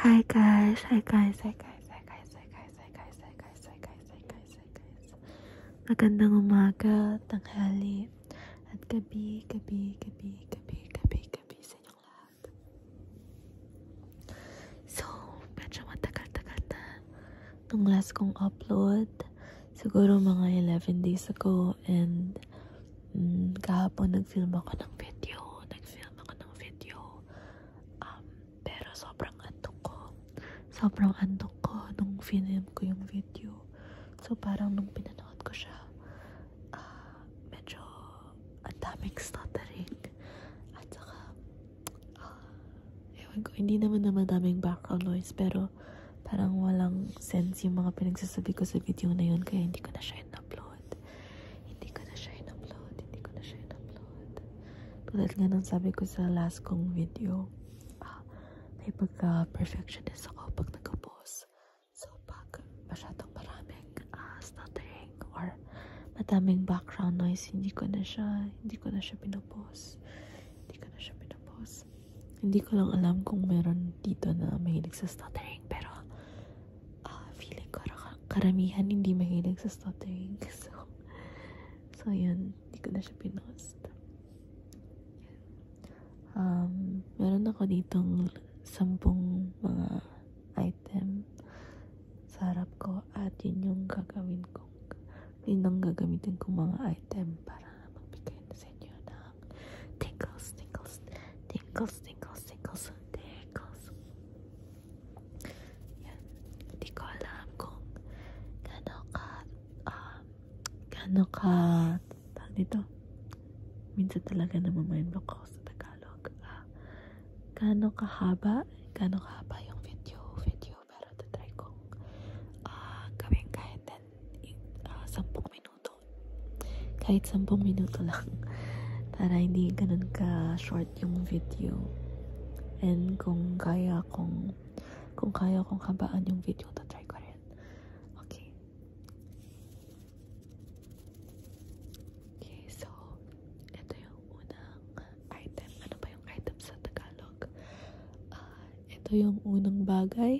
Hi guys, hi guys, hi guys, hi guys, hi guys, hi guys, hi guys, hi guys, hi guys, hi guys. Magandang umaga, tanghali, at gabi, gabi, gabi, gabi, gabi, gabi sa inyong lahat. So, medyo matagal-tagal na nung last kong upload. Siguro mga 11 days ago and Mm, kahapon nag-film ako ng video. Nag-film ako ng video. Um, pero sobrang antok ko. Sobrang antok ko nung film ko yung video. So parang nung pinanood ko siya, uh, medyo ang daming stuttering. At saka, uh, ewan ko, hindi naman na madaming background noise. Pero parang walang sense yung mga pinagsasabi ko sa video na yun. Kaya hindi ko na siya in-upload. Hindi ko na siya in-upload. Hindi ko na siya in-upload. Tulad nga nang sabi ko sa last kong video, ah, may pagka-perfectionist ako pag nag-post. So, pag masyadong maraming uh, stuttering or madaming background noise, hindi ko na siya, hindi ko na siya pinapost. Hindi ko na siya pinapost. Hindi ko lang alam kung meron dito na mahilig sa stuttering, pero uh, feeling ko karamihan hindi mahilig sa stuttering. So, so yun. Hindi ko na siya pinost. Um, meron ako ditong sampung mga item sa harap ko at yun yung gagawin kong yun ang gagamitin kong mga item para magbigay na send you ng tingles, tingles, tingles, tingles, tingles, tingles. Yan. Hindi ko alam kung gano'n ka, um, gano'n ka, tawag dito, minsan talaga namamind ako sa Tagalog. Uh, ah, gano'n kahaba, gano'n kahaba yung video, video, pero tatry kong uh, gawin kahit 10, uh, 10 minutes minuto. Kahit 10 minuto lang. Para hindi ganun ka-short yung video. And kung kaya kong kung kaya kong habaan yung video, tatry ko rin. Okay. Okay, so, ito yung unang item. Ano ba yung item sa Tagalog? Uh, ito yung unang bagay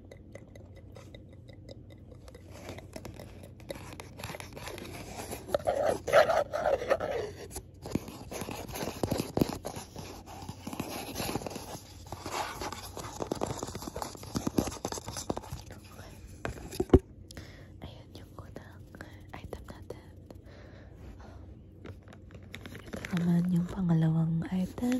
Ayan yung unang item natin. Um, ito naman yung pangalawang item.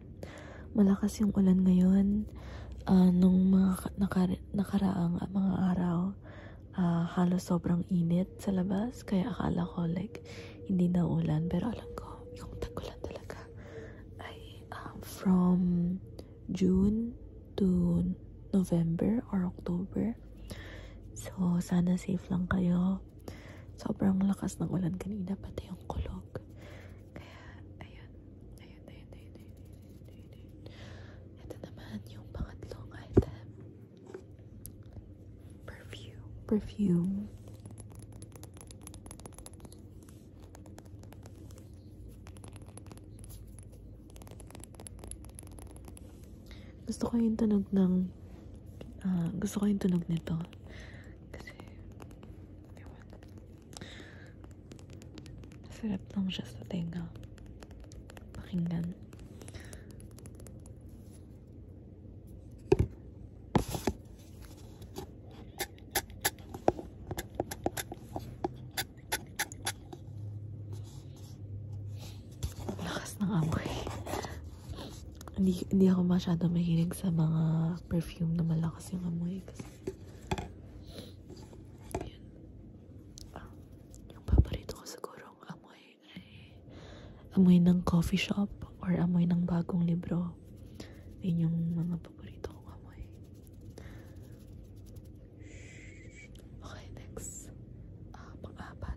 Malakas yung ulan ngayon. Uh, nung mga nakar nakaraang mga araw, uh, halos sobrang init sa labas. Kaya akala ko like, hindi na ulan. Pero alam ko, yung tagulan talaga ay um, from June to November or October. So, sana safe lang kayo. Sobrang lakas ng ulan kanina, pati yung kulog. Kaya, ayun, ayun, ayun, ayun, ayun, ayun, ayun, ayun. Ito naman yung pangatlong item. Perfume. Perfume. Gusto ko yung tunog ng uh, gusto ko yung tunog nito. Kasi, ewan. Masarap lang siya sa tenga. Pakinggan. Lakas ng amoy hindi, hindi ako masyado mahilig sa mga perfume na malakas yung amoy kasi yun. Ah, yung paborito ko siguro ang amoy ay amoy ng coffee shop or amoy ng bagong libro yun yung mga paborito kong amoy okay next uh, pang-apat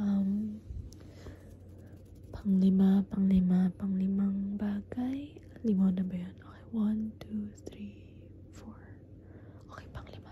Um, panglima, panglima, panglimang bagay. Lima na ba yun? Okay, one, two, three, four. Okay, panglima.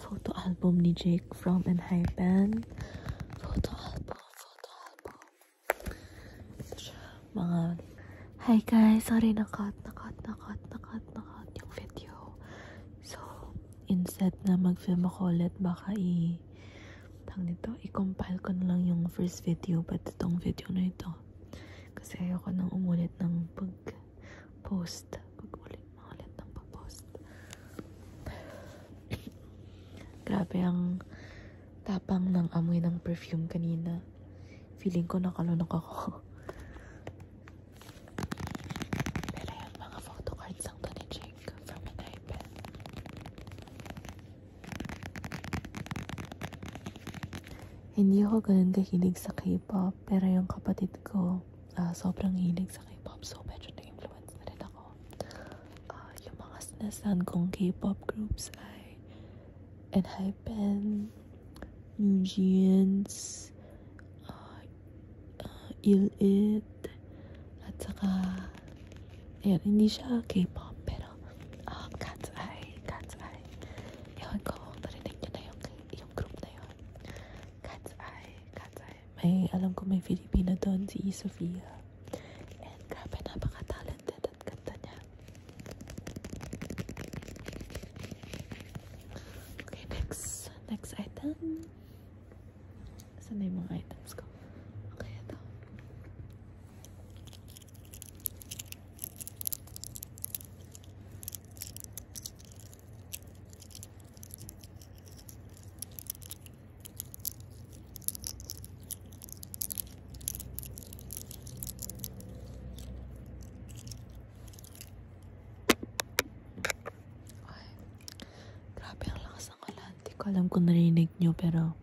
فوتو ألبوم نيجيك from band. فوتو album, فوتو album. mga hi guys sorry nakat nakat nakat nakat nakat yung video so instead na mag-film ako ulit, baka i tang nito, i-compile ko na lang yung first video, but itong video na ito. Kasi ayoko nang umulit ng pag-post. Pag-ulit, maulit ng pag-post. Grabe ang tapang ng amoy ng perfume kanina. Feeling ko nakalunok ako. Pero yung mga photo cards ang to ni Jake from an iPad. Hindi ako ganun kahilig sa K-pop, pero yung kapatid ko, uh, sobrang hilig sa K-pop, so medyo na-influence na rin ako. Uh, yung mga sinasan kong K-pop groups ay Enhypen, New Jeans, uh, uh, Ill-It, at saka, ayan, hindi siya K-pop, pero, uh, Cat's Eye, Cat's Eye. Ewan ko kung narinig nyo na yung, yung group na yun. Cat's Eye, Cat's Eye. May, alam ko may Filipina doon, si Sofia. And grabe, napaka-talented at kanta Okay, next next item. What's the name of items go? Okay, ito. Ay, grabe ang lakas ng ulan. Hindi ko alam kung narinig nyo pero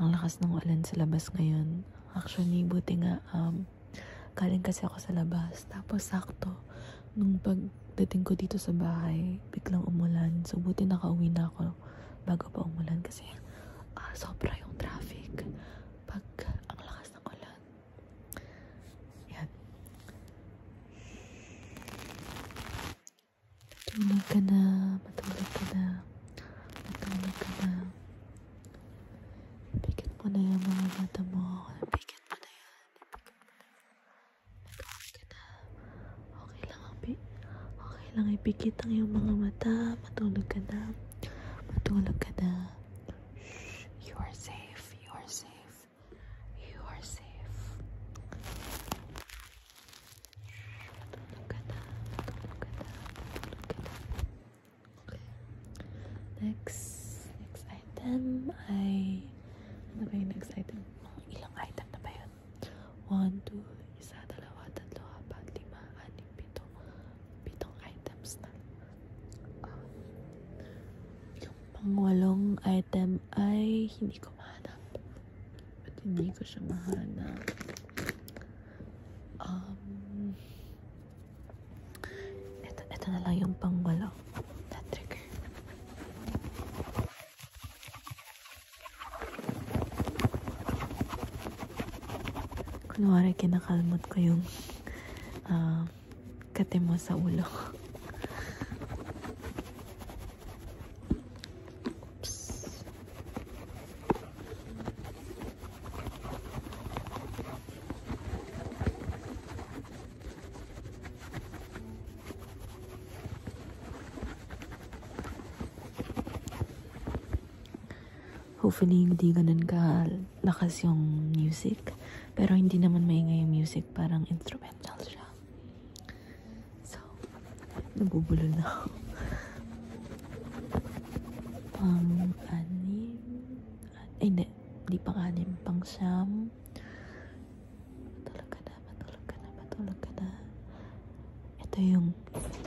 ang lakas ng ulan sa labas ngayon. Actually, buti nga um, galing kasi ako sa labas. Tapos sakto, nung pagdating ko dito sa bahay, biglang umulan. So buti nakauwi na ako bago pa umulan kasi uh, sobra yung traffic. Pag ang lakas ng ulan, yan. Matulog ka na. Matulog ka na. Matulog ka na. Pikit mo na yung mga mata mo. Pikit mo na yan. Matulog ka na. Okay lang, okay lang ipikit ang iyong mga mata. Matulog ka na. Matulog ka na. you are safe. You are safe. You are safe. look at that. look at that. look at that. Okay. Next, next item ay ano ba yung next item? Oh, ilang item na pitong items na. Uh, yung pangwalong item ay hindi ko mahanap. But hindi ko siya mahanap. Um, ito, ito na lang yung pangwalong na trigger. Kunwari, kinakalmot ko yung uh, kate mo sa ulo. Oops. Hopefully, hindi ganun ka lakas yung music. Pero hindi naman maingay yung music. Parang instrumental siya. So, nabubulo na ako. Pang um, anim. Ay, hindi. Hindi pang anim. Pang siyam. Matulog ka na, matulog ka na, matulog ka na. Ito yung